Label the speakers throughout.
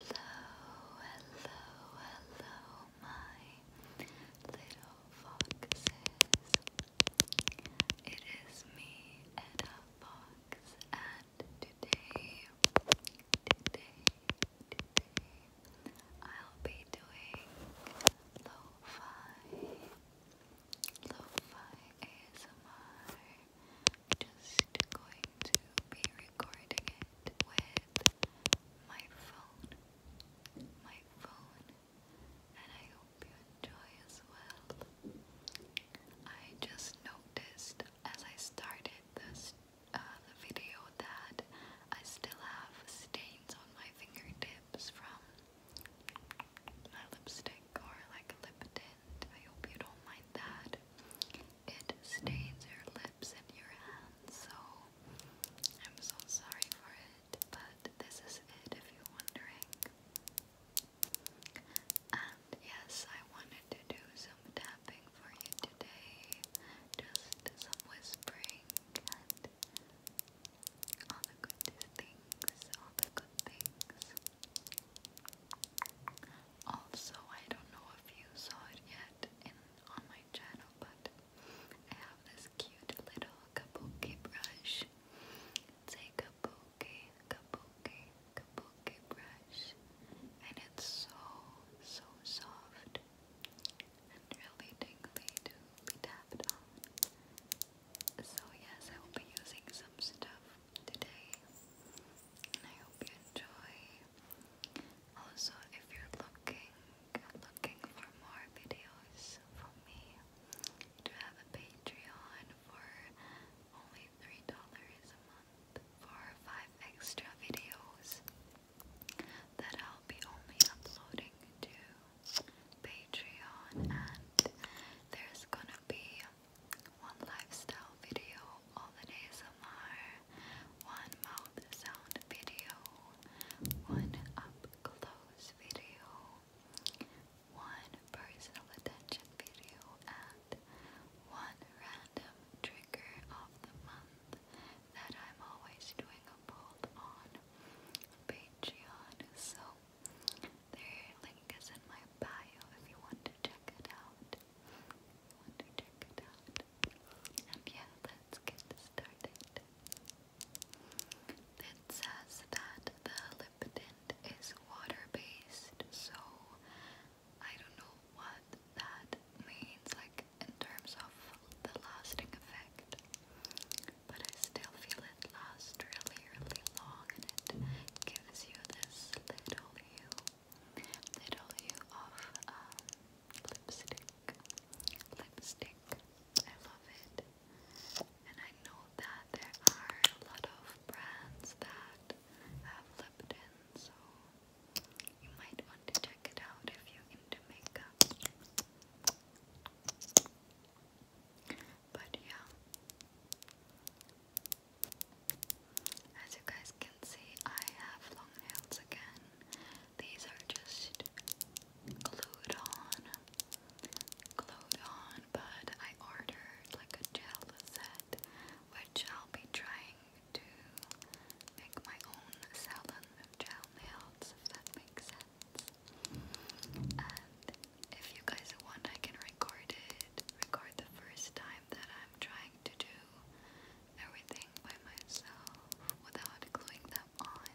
Speaker 1: Hello, hello, hello, my little foxes. It is me, Edda Fox, and today, today, today, I'll be doing lo-fi, lo-fi Just going to be recording it with my phone. My phone. And I hope you enjoy as well. I just noticed as I started this uh, the video that I still have stains on my fingertips from my lipstick or like lip tint. I hope you don't mind that it stains your lips and your hands, so I'm so sorry for it, but this is it if you're wondering. And yes, I wanted to do some tapping for you today, just some whispering and all the good things, all the good things. Also, I don't know if you saw it yet in on my channel, but I have this cute little kabuki brush. It's kabuki, kabuki, kabuki brush, and it's so, so soft and really tingly to be tapped on. So yes, I will be using some stuff today, and I hope you enjoy. Also, if you're looking looking for more videos from me, I do have a Patreon for only three dollars a month for five extra videos that I'll be only uploading to Patreon, and there's gonna be one lifestyle video of an one mouth sound video, one up close video, one personal attention video, and one random trigger of the month that I'm always doing a poll on Patreon. So their link is in my bio if you want to check it out want yeah, let's get started. It says that the lip tint is water-based, so I don't know what that means, like in terms of the lasting effect. But I still feel it lasts really, really long, and it gives you this little hue little hue of uh, lipstick. Lipstick. I love it. And I know that there are a lot of brands that have lip tint, so you might want to check it out if you into makeup. But yeah, as you guys can see, I have long nails again. These are just glued on, glued on, but I ordered like a gel set, which I'll be trying to make my own salon gel nails, if that makes sense. And if you guys want, I can record it, record the first time that I'm trying to do everything by myself without gluing them on,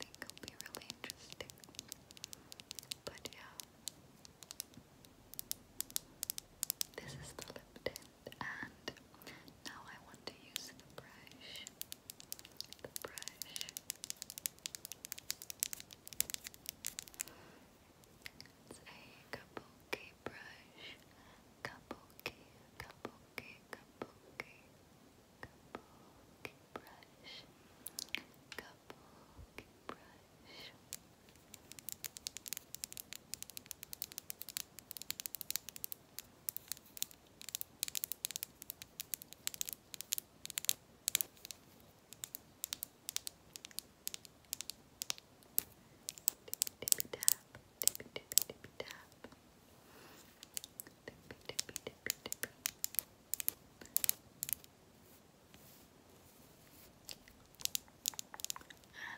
Speaker 1: it'll be really interesting. But yeah. This is the lip and now I want to use the brush. The brush. It's a kabuki brush. Kabuki, kabuki, kabuki, Kabuki brush. Kabuki brush. And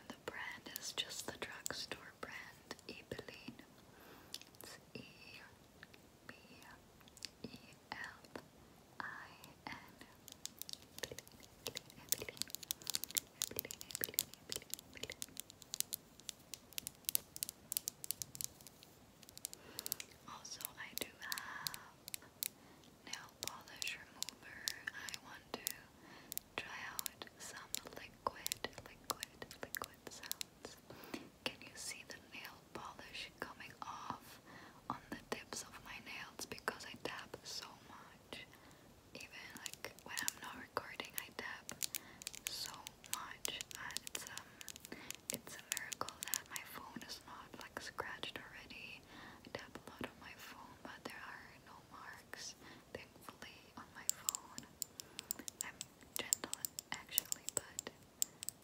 Speaker 1: the brand is just the drugstore brand, Ebeline. It's E B E L I N. Also, I do have nail polish remover. I want to try out some liquid, liquid, liquid sounds. Can you see the nail polish coming off? on the tips of my nails because I tap so much. Even like when I'm not recording, I tap so much. And it's um, it's a miracle that my phone is not like scratched already. I tap a lot on my phone, but there are no marks, thankfully, on my phone. I'm gentle actually, but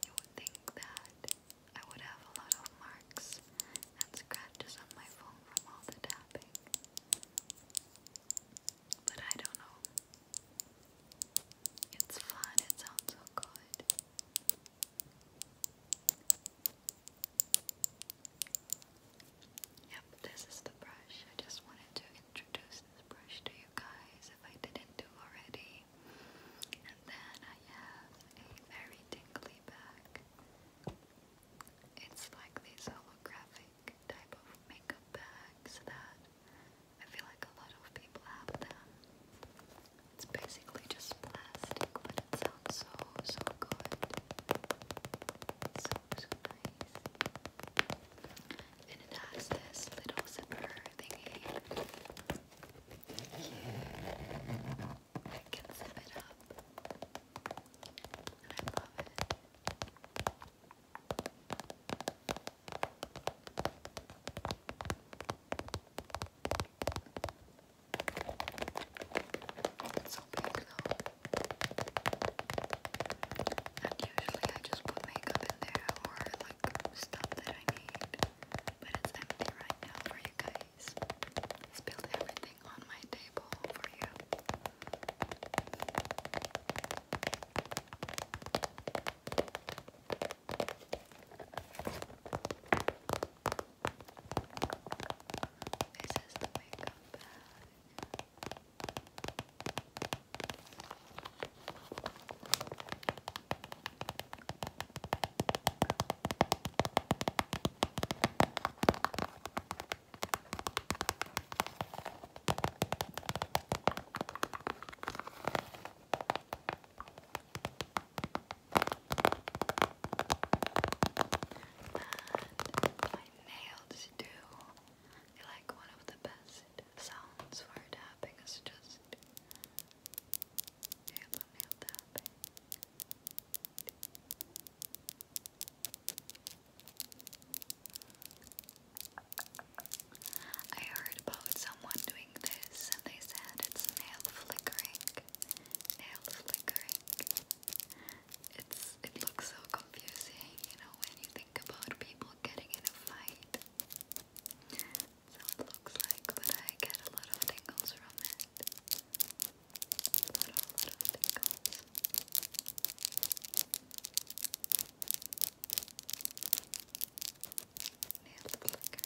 Speaker 1: you would think that I would have a lot of marks and scratches on my phone from all the tapping. But I don't know. It's fun, it sounds so good. Yep, this is the brush. I just wanted to introduce this brush to you guys if I didn't do already. And then I have a very tingly bag. It's like these holographic type of makeup bags that I feel like a lot of people have them. It's basically just plastic, but it sounds so, so good. So, nice. And it has this little zipper thingy. I can zip it up. And I love it. It's so big though. And usually I just put makeup in there or like stuff that I need. But it's empty right now for you guys guys. I spilled everything on my table for you. This is the makeup nails do like one of the best sounds for tapping is just Hello, I heard about someone doing this and they said it's nail flickering. Nail flickering. It's it looks so confusing, you know, when you think about people getting in a fight so it looks like, but I get a lot of tingles from it. A lot, of tingles. Nail flicker, nail flicker.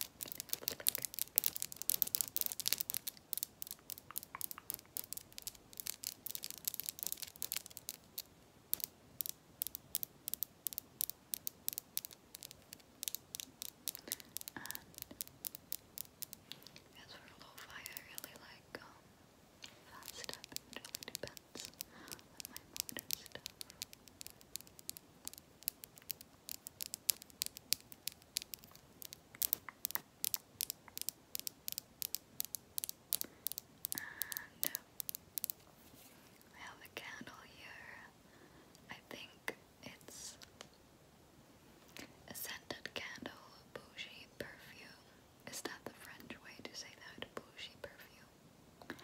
Speaker 1: And as for lo-fi, I really like um, fast stuff. It really depends my mood stuff. And uh, I have a candle here. I think it's a scented candle, bougie perfume. Is that the French way to say that? Bougie perfume.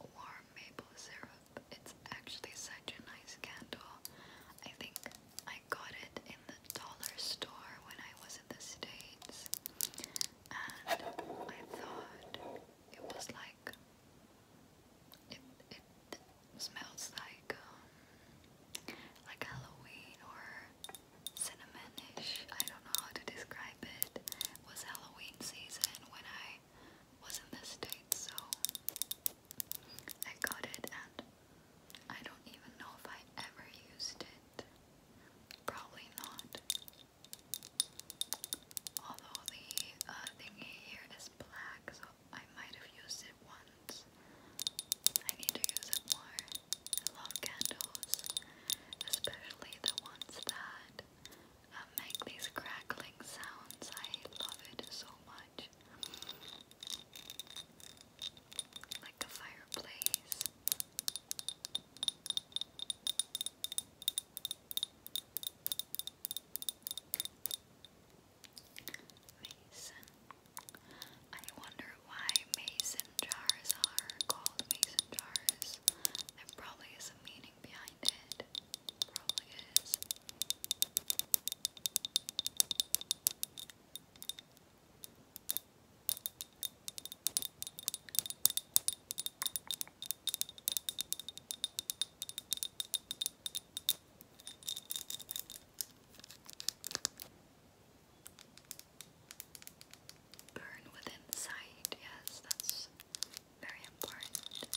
Speaker 1: Warm maple syrup. It's actually such a nice candle. I think I got it in the dollar store when I was in the States. And I thought it was like it, it smells like um, like Halloween or cinnamonish. I don't know how to describe it. It was Halloween season when I was in the States, so I got it and I don't even know if I ever used it. Probably not. Although the uh, thingy here is black, so I might have used it once. I need to use it more. I love candles, especially the ones that uh, make these crackling sounds. I love it so much. Like a fireplace. Mason. I wonder why mason jars are called mason jars. There probably is a meaning behind it. Probably is. Burn with insight, yes, that's very important.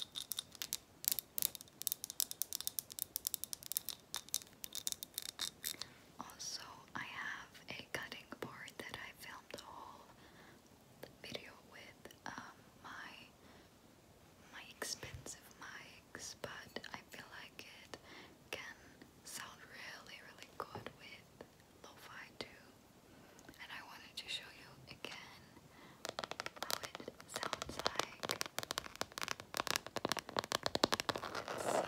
Speaker 1: Also, I have a cutting board that I filmed a whole video with um, my my expensive mics, but I feel like it can sound really, really good with lo too. And I wanted to show you again how it sounds like. so,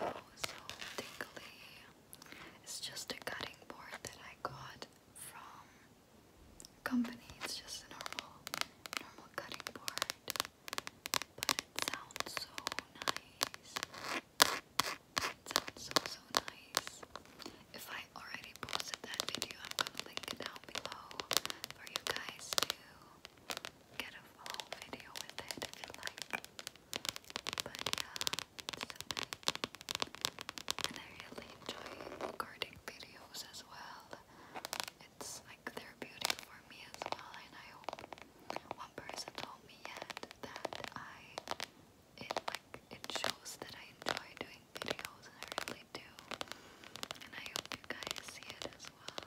Speaker 1: so tingly. It's just a cutting board that I got from company. It's just a normal, normal cutting board, but it sounds so nice. It sounds so so nice. If I already posted that video, I'm gonna link it down below for you guys to get a whole video with it if you like. But yeah, And I really enjoy recording videos as well it's like therapeutic for me as well. And I hope one person told me yet that I it like it shows that I enjoy doing videos, I really do. And I hope you guys see it as well.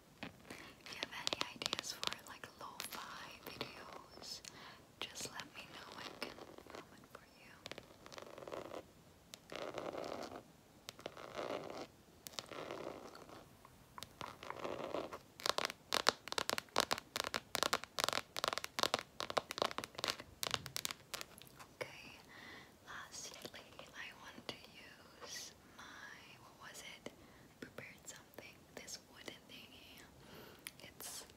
Speaker 1: If you have any ideas for like lo-fi videos, just let me know. I can comment for you. Okay, Lastly, I want to use my what was it? Prepared something. This wooden thingy. It's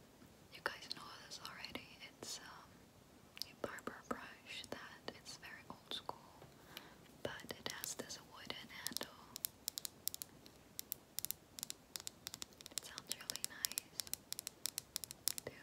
Speaker 1: you guys know this already. It's um a barber brush that it's very old school, but it has this wooden handle. It sounds really nice too.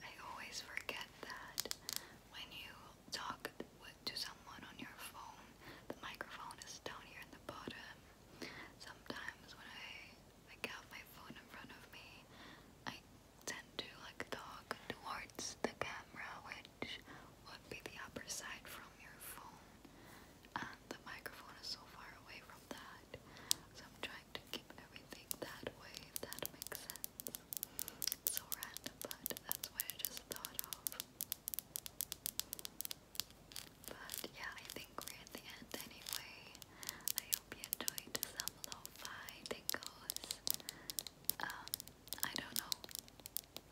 Speaker 1: I always forget that when you talk to someone on your phone, the microphone is down here in the bottom. Sometimes when I like have my phone in front of me, I tend to like talk towards the camera, which would be the upper side from your phone, and the microphone is so far away from that. So I'm trying to keep everything that way, if that makes sense. so random, but that's what I just thought of. But yeah, I think we're at the end anyway. I hope you enjoyed some lo-fi tingles. Um, I don't know.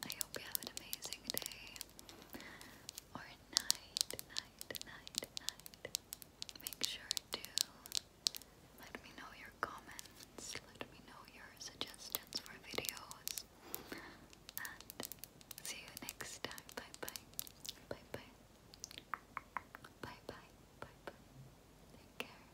Speaker 1: I hope you have an amazing day or night, night, night, night. Make sure to let me know your comments, let me know your suggestions for videos, and see you next time. Bye bye. Bye bye. Bye bye. Bye bye. Take care.